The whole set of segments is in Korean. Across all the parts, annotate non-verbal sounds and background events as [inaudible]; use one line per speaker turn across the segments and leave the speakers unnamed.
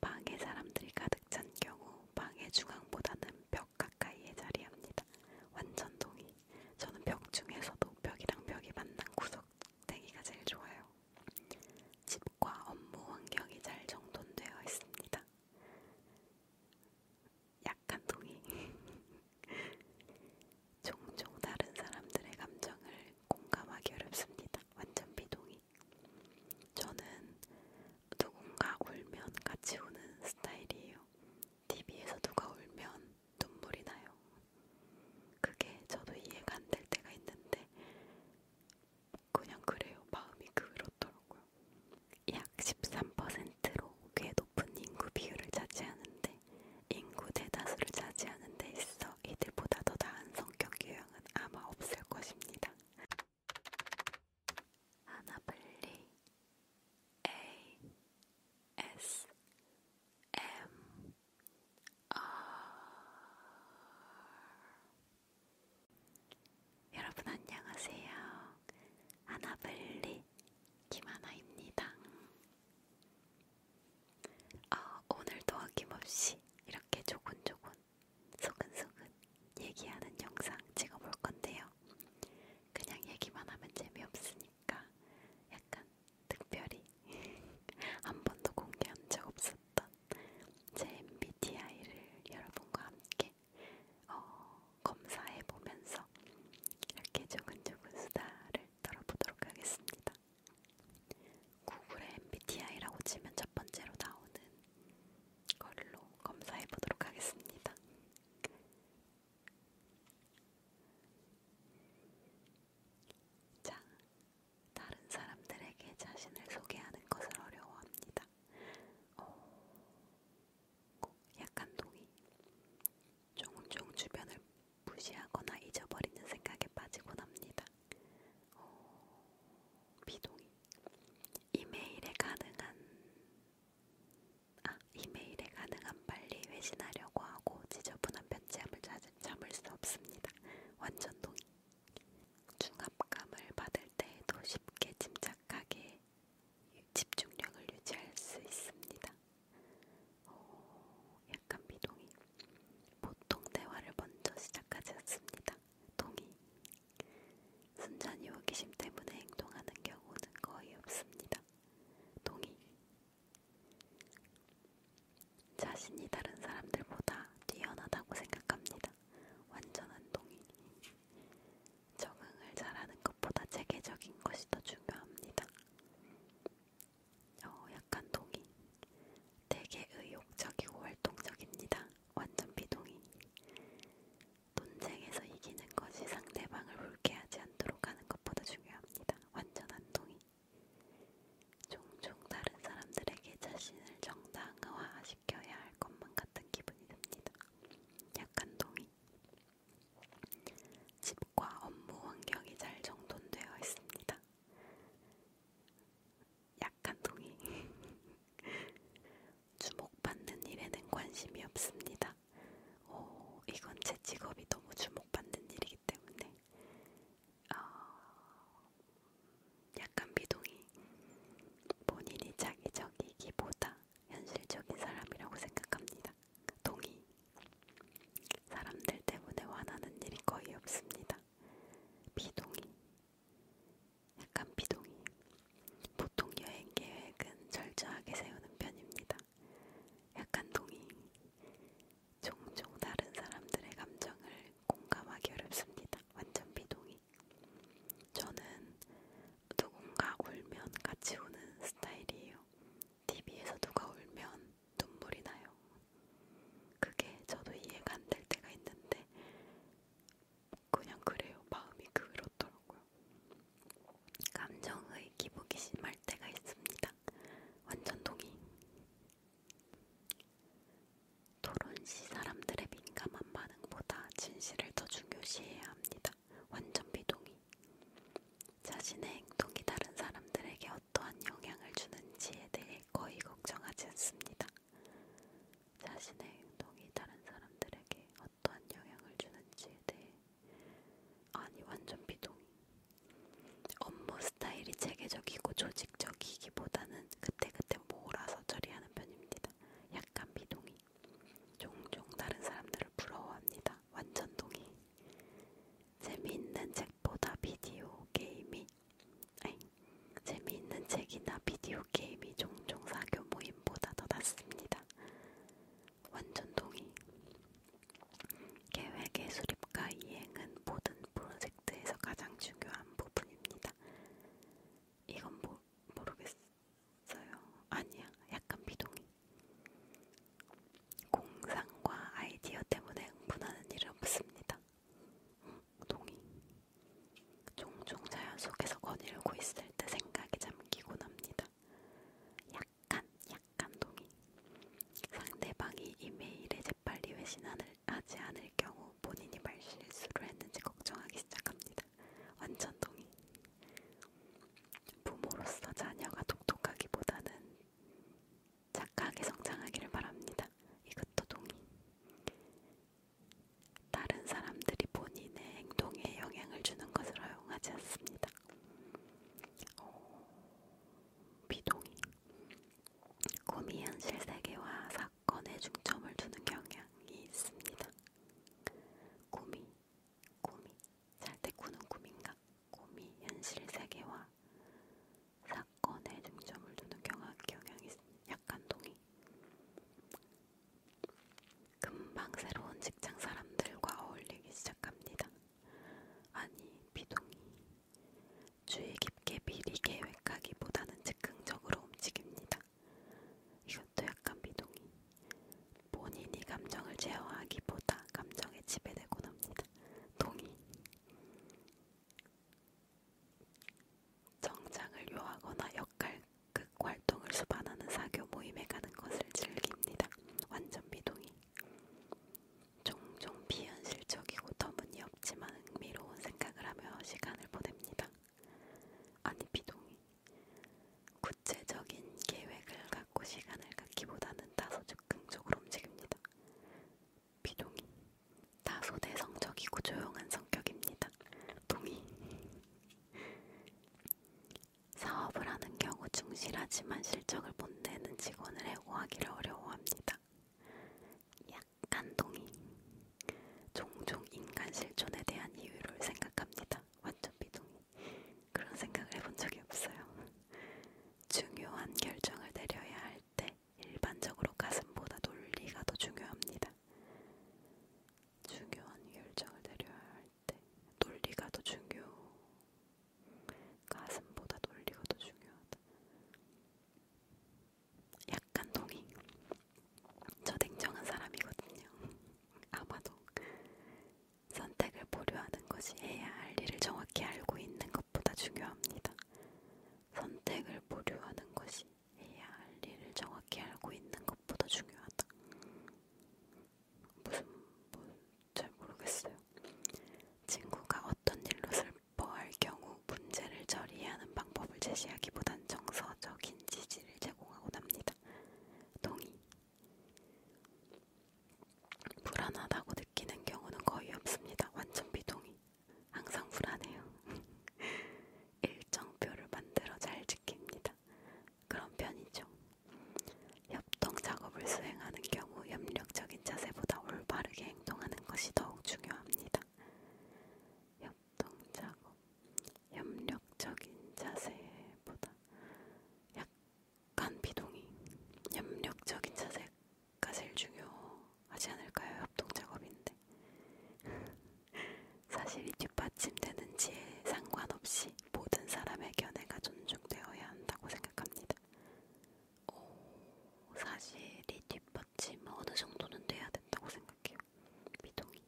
방에 사람들이 가득 찬 경우 방의 중앙보다는 벽 가까이에 자리합니다. 완전 동의. 저는 벽 중에서도 벽이랑 벽이 만난 구석대기가 제일 좋아요. 집과 업무 환경이 잘 정돈되어 있습니다. 약간 동의. [laughs] 종종 다른 사람들의 감정을 공감하기 어렵습니다. 완전 비동의. 저는 누군가 울면 같이 우는 스타일이에요. TV에서 누가 울면 눈물이 나요. 그게 저도 이해가 안 될 때가 있는데 그냥 그래요. 마음이 그렇더라고요. 약 13%로 꽤 높은 인구 비율을 차지하는데 인구 대다수를 차지하는 데 있어 이들보다 더 나은 성격 유형은 아마 없을 것입니다. 하나블리 A S M R 여러분 안녕하세요. 하나블리 김하나입니다. 어, 오늘도 어김없이 이렇게 조곤조곤 소근소근 얘기하는 영상 찍어볼 건데요. 그냥 얘기만 하면 재미없으니까 약간 특별히 [laughs] 한 번도 공개한 적 없었던 제 MBTI를 여러분과 함께 어, 검사해 보면서 이렇게 조근조근 수다를 떨어보도록 하겠습니다. 구글에 MBTI라고 치면 첫 번째로 나오는 걸로 검사해 보도록 하겠습니다. 자, 다른 사람들에게 자신을 소개하는 것을 어려워합니다. 어, 약간 동의. 종종 주변을 무시하거나 잊어버리는 생각에 빠지곤 합니다. 어, 비동의 이메일에 가능한 아 이메일에 가능한 빨리 회신하려고 하고 지저분한 편지함을 찾을 참을 수 없습니다. 완전 동의. 중압감을 받을 때에도 쉽게 침착하게 집중력을 유지할 수 있습니다. 어, 약간 비동의. 보통 대화를 먼저 시작하지 않습니다. 동의. 순전히 호기심 때문에 행동하는 경우는 거의 없습니다. 동의. 자신이 다른 사람들보다 뛰어나다고 생각합니다. 완전한 동의. 적응을 잘하는 것보다 체계적인 것이 더 중요합니다. 어, 약간 동의. 되게 의욕적이고 활동적입니다. 완전 비동의. 논쟁에서 이기는 것이 상대방을 불쾌하지 않도록 하는 것보다 중요합니다. 완전 안동의. 종종 다른 사람들에게 자신을 정당화시켜야 할 것만 같은 기분이 듭니다. 약간 동의. 집과 업무 환경이 잘 정돈되어 있습니다. 약한 동의. [laughs] 주목받는 일에는 관심이 없습니다. 오, 이건 제 직업이 너무 주목받는 일이기 때문에 어, 약간 비동의. 본인이 자기적이기보다 현실적인 사람이라고 생각합니다. 동의. 사람들 때문에 화나는 일이 거의 없습니다. 비동의. 약간 비동의. 보통 여행 계획은 철저하게 세우는 편입니다. 약간 동의. 종종 다른 사람들의 감정을 공감하기 어렵습니다. 완전 비동의. 저는 누군가 울면 같이 우는 스타일이에요. TV에서 누가 울면 눈물이 나요. 그게 저도 이해가 안 될 때가 있는데 그냥 그래요. 마음이 그렇더라고요. 감정의 기복이 심할 때가 있습니다. 완전 동의. 토론시 사람들의 민감한 반응보다 진실을 더 중요시해야 합니다. 완전 비동의. 자신의 행동이 다른 사람들에게 어떠한 영향을 주는지에 대해 거의 걱정하지 않습니다. 자신의 행동이 다른 사람들에게 어떠한 영향을 주는지에 대해 아니 완전 비동의. 업무 스타일이 체계적이고 조직적이기보다는 그때그때 몰아서 처리하는 편입니다. 약간 비동의. 종종 다른 사람들을 부러워합니다. 완전 동의. 재미있는 책보다 비디오 게임이 아이, 아이, 재미있는 책이나 비디오 게임이 종종 사교 모임보다 더 낫습니다. 완전 동의. 계획의 수립과 이행은 모든 프로젝트에서 가장 중요한 부분입니다. 이건 모, 모르겠어요. 아니야, 약간 비동의. 공상과 아이디어 때문에 흥분하는 일은 없습니다. 동이 종종 자연 속에서 거닐고 있을 때 생각이 잠기곤 합니다. 약간 약간 동이 상대방이 이메일에 재빨리 회신을 하지 않을 경우 본인이 말실수를 했는지 걱정하기 시작합니다. 완전 동의. 부모로서 자녀가 똑똑하기보다는 착하게 성장하기를 바랍니다. 이것도 동의. 다른 사람들이 본인의 행동에 영향을 주는 것을 허용하지 않습니다. 어, 비동의 꿈이 현실 세계와 사건에 중점을 두는 경향이 있습니다. 꿈이, 꿈이, 잘때 꾸는 꿈인가? 꿈이 현실 세계와 사, 사건에 중점을 두는 경향이 약간 동의. 금방 새로운 직장 사람들과 어울리기 시작합니다. 아니, 비동의. 주의 깊게 미리 계획하기보다는 즉흥적으로 움직입니다. 이것도 약간 비동의. 본인이 감정을 제어하기보다 감정에 지배되곤 합니다. 동의. 정장을 요하거나 역할극 그 활동을 수반하는 사교 모임에 가는 것을 즐깁니다. 완전 미동이. 종종 비현실적이고 터무니없지만 흥미로운 생각을 하며 시간을 보냅니다. 아니 비동이. 구체적인 계획을 갖고 시간을 갖기보다는 다소 즉흥적으로 움직입니다. 비동이. 다소 내성적이고 조용한 성격입니다. 동의. 사업을 하는 경우 충실하지만 실적을 못 내는 직원을 해고하기를 어려워합니다. 약간 동의. 종종 인간 실존에 대한 이유를 생각합니다. 완전 비동의. 그런 생각을 해본 적이 없어요. 중요한 결정을 내려야 할때 일반적으로 가슴보다 논리가 더 중요합니다. 중요한 결정을 내려야 할 때 논리가 더 중요. 가슴보다 논리가 더 중요하다. 약간 동의. 저 냉정한 사람이거든요. 아마도 선택을 보류하는 것이 해야 할 일을 정확히 알고 있는 것보다 중요합니다. 선택을 보류하는 것이 해야 할 일을 정확히 알고 있는 것보다 중요하다. 무슨 뭐잘 모르겠어요. 친구가 어떤 일로 슬퍼할 경우 문제를 처리하는 방법을 제시하기보단 정서적인 지지를 제공하고 납니다. 동의. 불안하다고 느끼는 경우는 거의 없습니다. 완전 비동의. 항상 불안해요. [laughs] 일정표를 만들어 잘 지킵니다. 그런 편이죠. 협동 작업을 수행하는 경우 협력적인 자세보다 올바르게 행동하는 것이 더욱 중요합니다. 협동 작업, 협력적인 자세보다 약간 비동의, 협력적인 자세가 제일 중요한 하지 않을까요? 협동 작업인데. [laughs] 사실 이 뒷받침되는지에 상관없이 모든 사람의 견해가 존중되어야 한다고 생각합니다. 오, 사실 이 뒷받침 어느 정도는 돼야 된다고 생각해요. 미동이.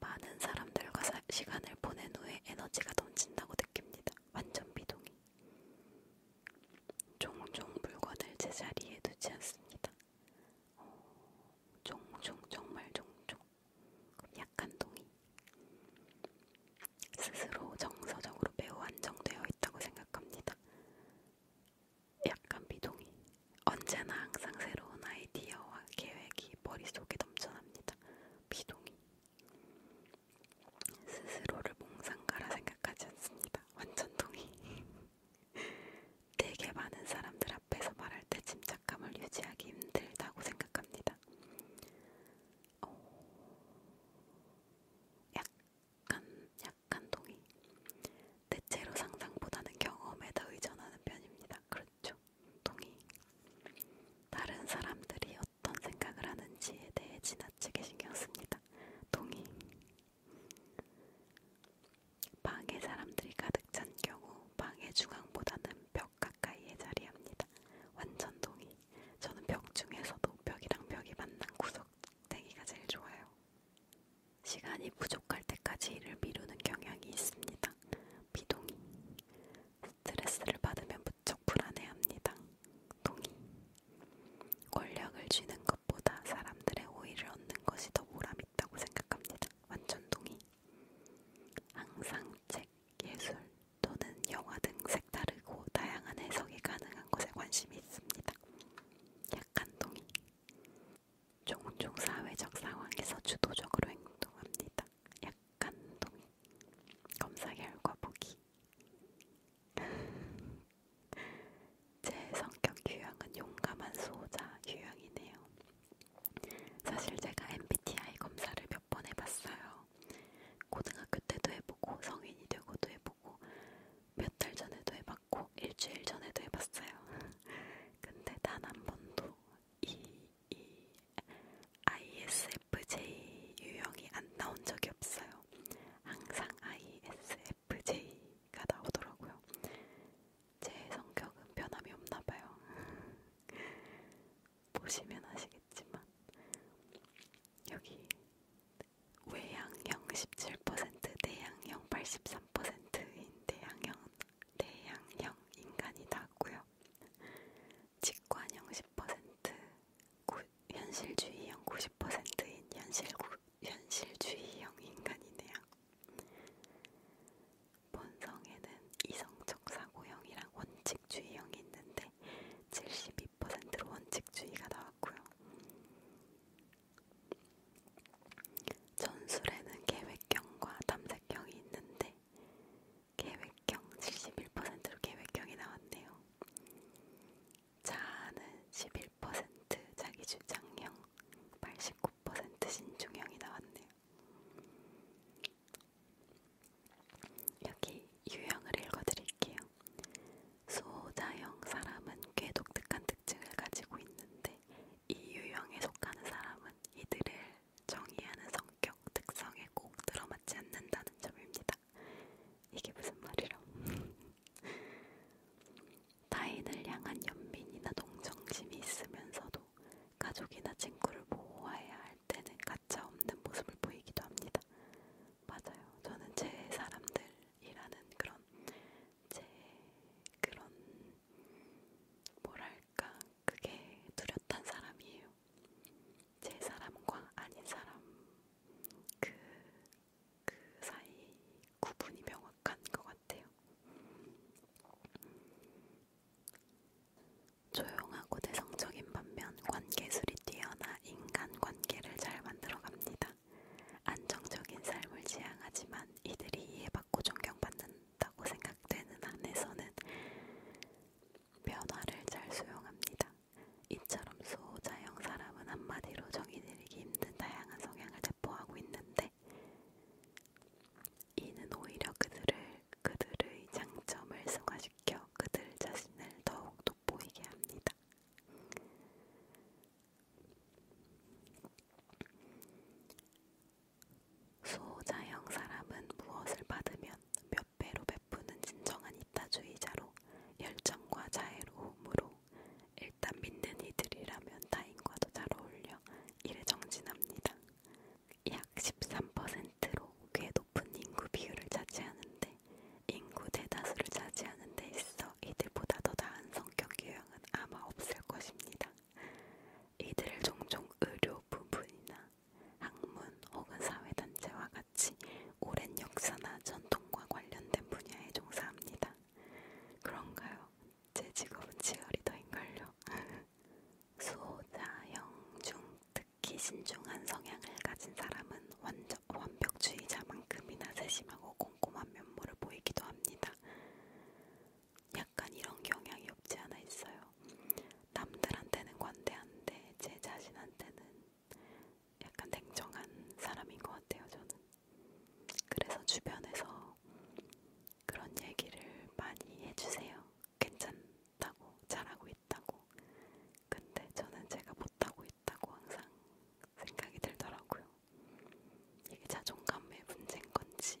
많은 사람들과 사, 시간을 보낸 후에 에너지가 넘친다고 느낍니다. 완전 미동이. 종종 물건을 제자리에 두지 않습니다. 어, 종종 정말 종종 약간 동의 스스로 정서적으로 매우 안정되어 있다고 생각합니다. 약간 비동의 언제나 항상 새로운 아이디어와 계획이 머릿속에 넘쳐납니다. 비동의 스스로를 몽상가라 생각하지 않습니다. 완전 동의 [laughs] [laughs] 되게 많은 사람들 앞에서 말할 때 침착감을 유지하기 힘들다고 생각합니다. 어... 약간, 약간 동의. 대체로 상상보다는 경험에 더 의존하는 편입니다. 그렇죠. 동의. 다른 사람들이 어떤 생각을 하는지에 대해 지나치게 신경 씁니다. 동의. 방에 사람들이 가득 찬 경우 방의 중앙보다는 벽 가까이에 자리합니다. 완전 동의. 저는 벽 중에서도 벽이랑 벽이 만난 구석대기가 제일 좋아요. 시간이 부족할 때까지 일을 미루는 경향이 있습니다. 비동의. 스트레스를 받으면 무척 불안해합니다. 동의. 권력을 쥐는 것, 것보다 사람들의 오해를 얻는 것이 더 보람 있다고 생각합니다. 완전 동의. 항상 책, 예술 또는 영화 등 색다르고 다양한 해석이 가능한 것에 관심이 있습니다. 약간 동의. 종종 사회적 상황에서 주도적으로 행동합니다. 약간 동의. 검사 결과 보기. [laughs] 제 성격 유형은 용감한 수호자 유형이네요. 사실 제가 MBTI 검사를 몇 번 해봤어요. 고등학교 때도 해보고 성인이 되고도 해보고 몇 달 전에도 해봤고 일주일 전에도 해봤어요. [laughs] 근데 단 한 번도 이, 이 ISFJ 유형이 안 나온 적이 없어요. 항상 ISFJ 얘기가 나오더라고요. 제 성격은 변함이 없나봐요. [laughs] 보시면 아시겠지만 여기 외향형 17%, 내향형 83%인 내향형 내향형 인간이 낫고요. 직관형 10%, 구, 현실주의형 90%인 현실주의형 현실주의형 인간이네요. 본성에는 이성적 사고형이랑 원칙주의형이 있는데 72%로 원칙주의가 나왔고요. 전술에는 계획형과 탐색형이 있는데 계획형 71%로 계획형이 나왔네요. 자아는 11% 자기주장형, 89% 신중형이 나왔네요. 여기 유형을 읽어드릴게요. 소자형 사람은 꽤 독특한 특징을 가지고 있는데 이 유형에 속하는 사람은 이들을 정의하는 성격 특성에 꼭 들어맞지 않는다는 점입니다. 이게 무슨 말이라? [laughs] 타인을 향한 연민이나 동정심이 있으면서도 가족이나 친구를 보호해야 할 때는 가차 없는 모습을 보이기도 합니다. 맞아요. 저는 제 사람들이라는 그런 제 그런 뭐랄까 그게 뚜렷한 사람이에요. 제 사람과 아닌 사람 그그 사이 구분이 명확한 것 같아요. 조용하고 내성적인 반면 관계술이 뛰어나 인간관계를 잘 만들어갑니다. 안정적인 삶을 지향하지만 이들이 이해받고 존경받는다고 생각되는 한에서는 변화를 잘 수용합니다. 이처럼 소자형 사람은 한마디로 정의내리기 힘든 다양한 성향을 대포하고 있는데 있는데 이는 오히려 그들을 그들의 장점을 승화시켜 그들 자신을 더욱 돋보이게 합니다. 수호자형 사람은 무엇을 받으면 몇 배로 베푸는 진정한 이타주의자로 열정과 자애로움으로 일단 믿는 이들이라면 타인과도 잘 어울려 일에 정진합니다. 약 13%로 꽤 높은 인구 비율을 차지하는데 인구 대다수를 차지하는 데 있어 이들보다 더 나은 성격 유형은 아마 없을 것입니다. 이들을 종종 의료 부분이나 학문 혹은 사회단체와 같이 오랜 역사나 전통과 관련된 분야에 종사합니다. 그런가요? 제 직업은 치어리더인걸요. [laughs] 소자영중 특히 신중한 성향을 가진 사람은 완전, 완벽주의자만큼이나 세심하고 꼼꼼한 면모를 보이기도 합니다. 약간 이런 경향이 없지 않아 있어요. 남들한테는 관대한데 제 자신한테는 약간 냉정한 사람인 것 같아요. 저는 그래서 주변에서 그런 얘기를 많이 해주세요. 괜찮다고, 잘하고 있다고. 근데 저는 제가 못하고 있다고 항상 생각이 들더라고요. 이게 자존감의 문제인 건지,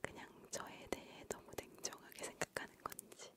그냥 저에 대해 너무 냉정하게 생각하는 건지.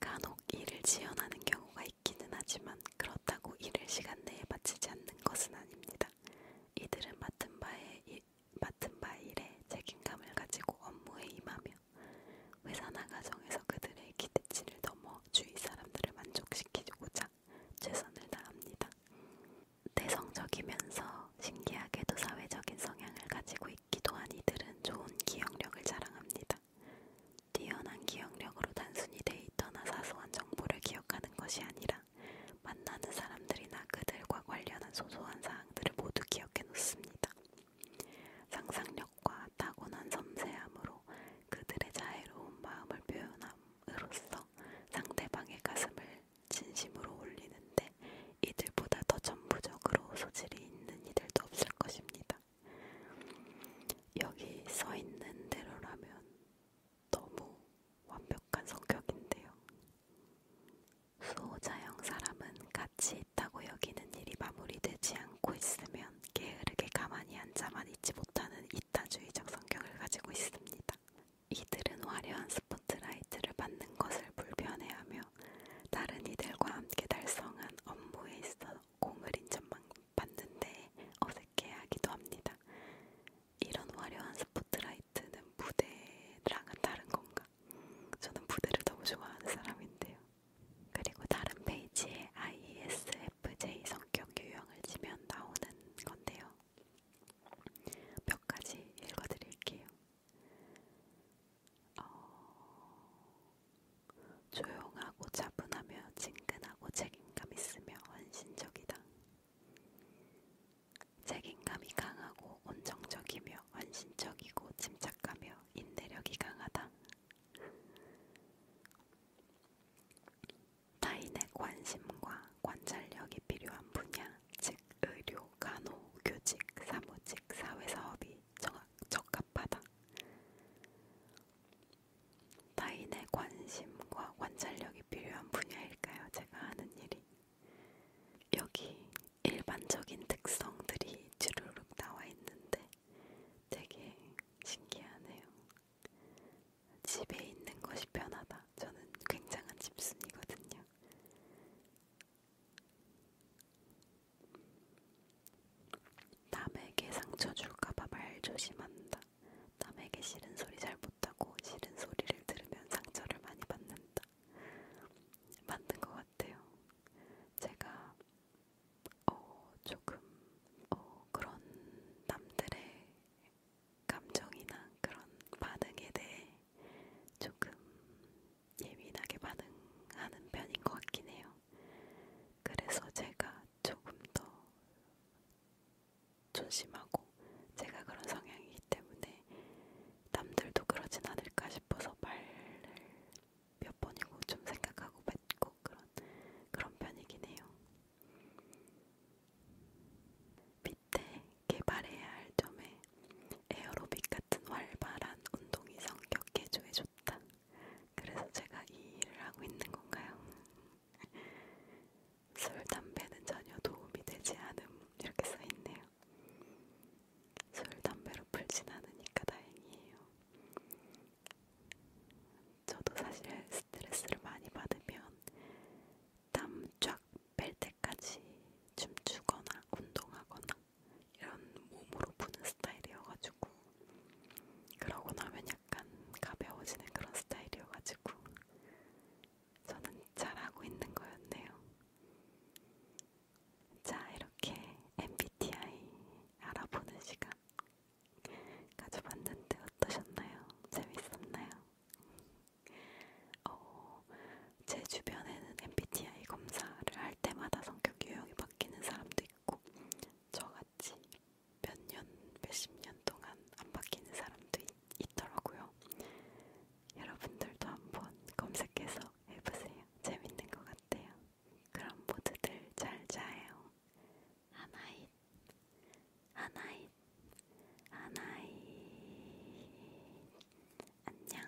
간혹 일을 지연하는 경우가 있기는 하지만 그렇다고 일을 시간 내에 마치지 않는 것은 아닙니다. 이들은 맡은 바에 일, 맡은 바 일에 책임감을 가지고 업무에 임하며 회사나 가정에서 그들의 기대치를 넘어 주위 사람들을 만족시키고자 최선을 다합니다. 내성적이면서 신기하게도 사회적인 성향을 가지고 있기도 한 이들은 좋은 기억력을 자랑합니다. 뛰어난 기억력으로 단순히 데이터나 사소한 정보를 기억하는 하는 것이 아니라 만나는 사람들이나 그들과 관련한 소소한 사항들을 모두 기억해 놓습니다. 상상력과 타고난 섬세함으로 그들의 자애로운 마음을 표현함으로써 상대방의 가슴을 진심으로 올리는데 이들보다 더 전부적으로 소질이 있는 이들도 없을 것입니다. 여기 써 있는 대로라면 너무 완벽한 성격인데요. 수호자형 사람은 같이 있다고 여기는 일이 마무리되지 않고 있으면 게으르게 가만히 앉아만 있지 못하는 이타주의적 성격을 가지고 있습니다. 이들은 화려한 스포트라이트를 받는 것을 불편해하며 다른 이들과 함께 달성한 업무에 있어 공을 인천망 봤는데 어색해하기도 합니다. 이런 화려한 스포트라이트는 무대랑은 다른 건가? 저는 무대를 너무 좋아하는 사람인데요. 그리고 다른 페이지에 ISFJ 성격 유형을 치면 나오는 건데요. 몇 가지 읽어드릴게요. 어... 조용하고 차분하며 친근하고 책임감 있으며 헌신적이다. 책임감이 강하고 온정적이며 헌신적이고 침착하며 인내력이 강하다. 타인의 관심과 관찰력이 필요한 분야, 즉 의료, 간호, 교직, 사무직, 사회사업이 적합하다. 타인의 관심과 관찰력이 필요한 분야일까요? 제가 하는 일이 여기 일반적인 특성들이 주르륵 나와 있는데 되게 신기하네요. 집에 있는 것이 편하다. 저는 굉장한 집순이거든요. 남에게 상처 줄까봐 말 조심한다. 남에게 싫은 소리 잘 못하고 싫은 소리를 들으면 상처를 많이 받는다. 맞는 것 같아요. 제가 어, 조금 어, 그런 남들의 감정이나 그런 반응에 대해 조금 예민하게 반응하는 편인 것 같긴 해요. 그래서 제가 조금 더 존심하고 제가 그런 성향이기 때문에 남들도 그러진 않을까 싶어서 말을 몇 번이고 좀 생각하고 뱉고 그런 그런 편이긴 해요. 밑에 개발해야 할 점에 에어로빅 같은 활발한 운동이 성격 개조에 좋다. 그래서 제가 이 일을 하고 있는 건가요? 술, 담배는 전혀 도움이 되지 않음 이렇게 써있네요. 술, 담배로 풀진 않으니까 다행이에요. 저도 사실 스트레스를 많이 받으면 땀 쫙 뺄 때까지 춤추거나 운동하거나 이런 몸으로 푸는 스타일이어가지고 그러고 나면 약간 가벼워지는 그런 스타일이어가지고 저는 잘하고 있는 거였네요. 자, 이렇게 MBTI 알아보는 시간 가져봤는데 어떠셨나요? 재밌었나요? 어, 제 주변에는 MBTI 검사를 할 때마다 성격 유형이 바뀌는 사람도 있고 저같이 몇 년, 몇 십 년 동안 안 바뀌는 사람도 있, 있더라고요. 여러분들도 한번 검색해서 해보세요. 재밌는 것 같아요. 그럼 모두들 잘 자요. 하나잇, 하나잇, 하나잇. 안녕.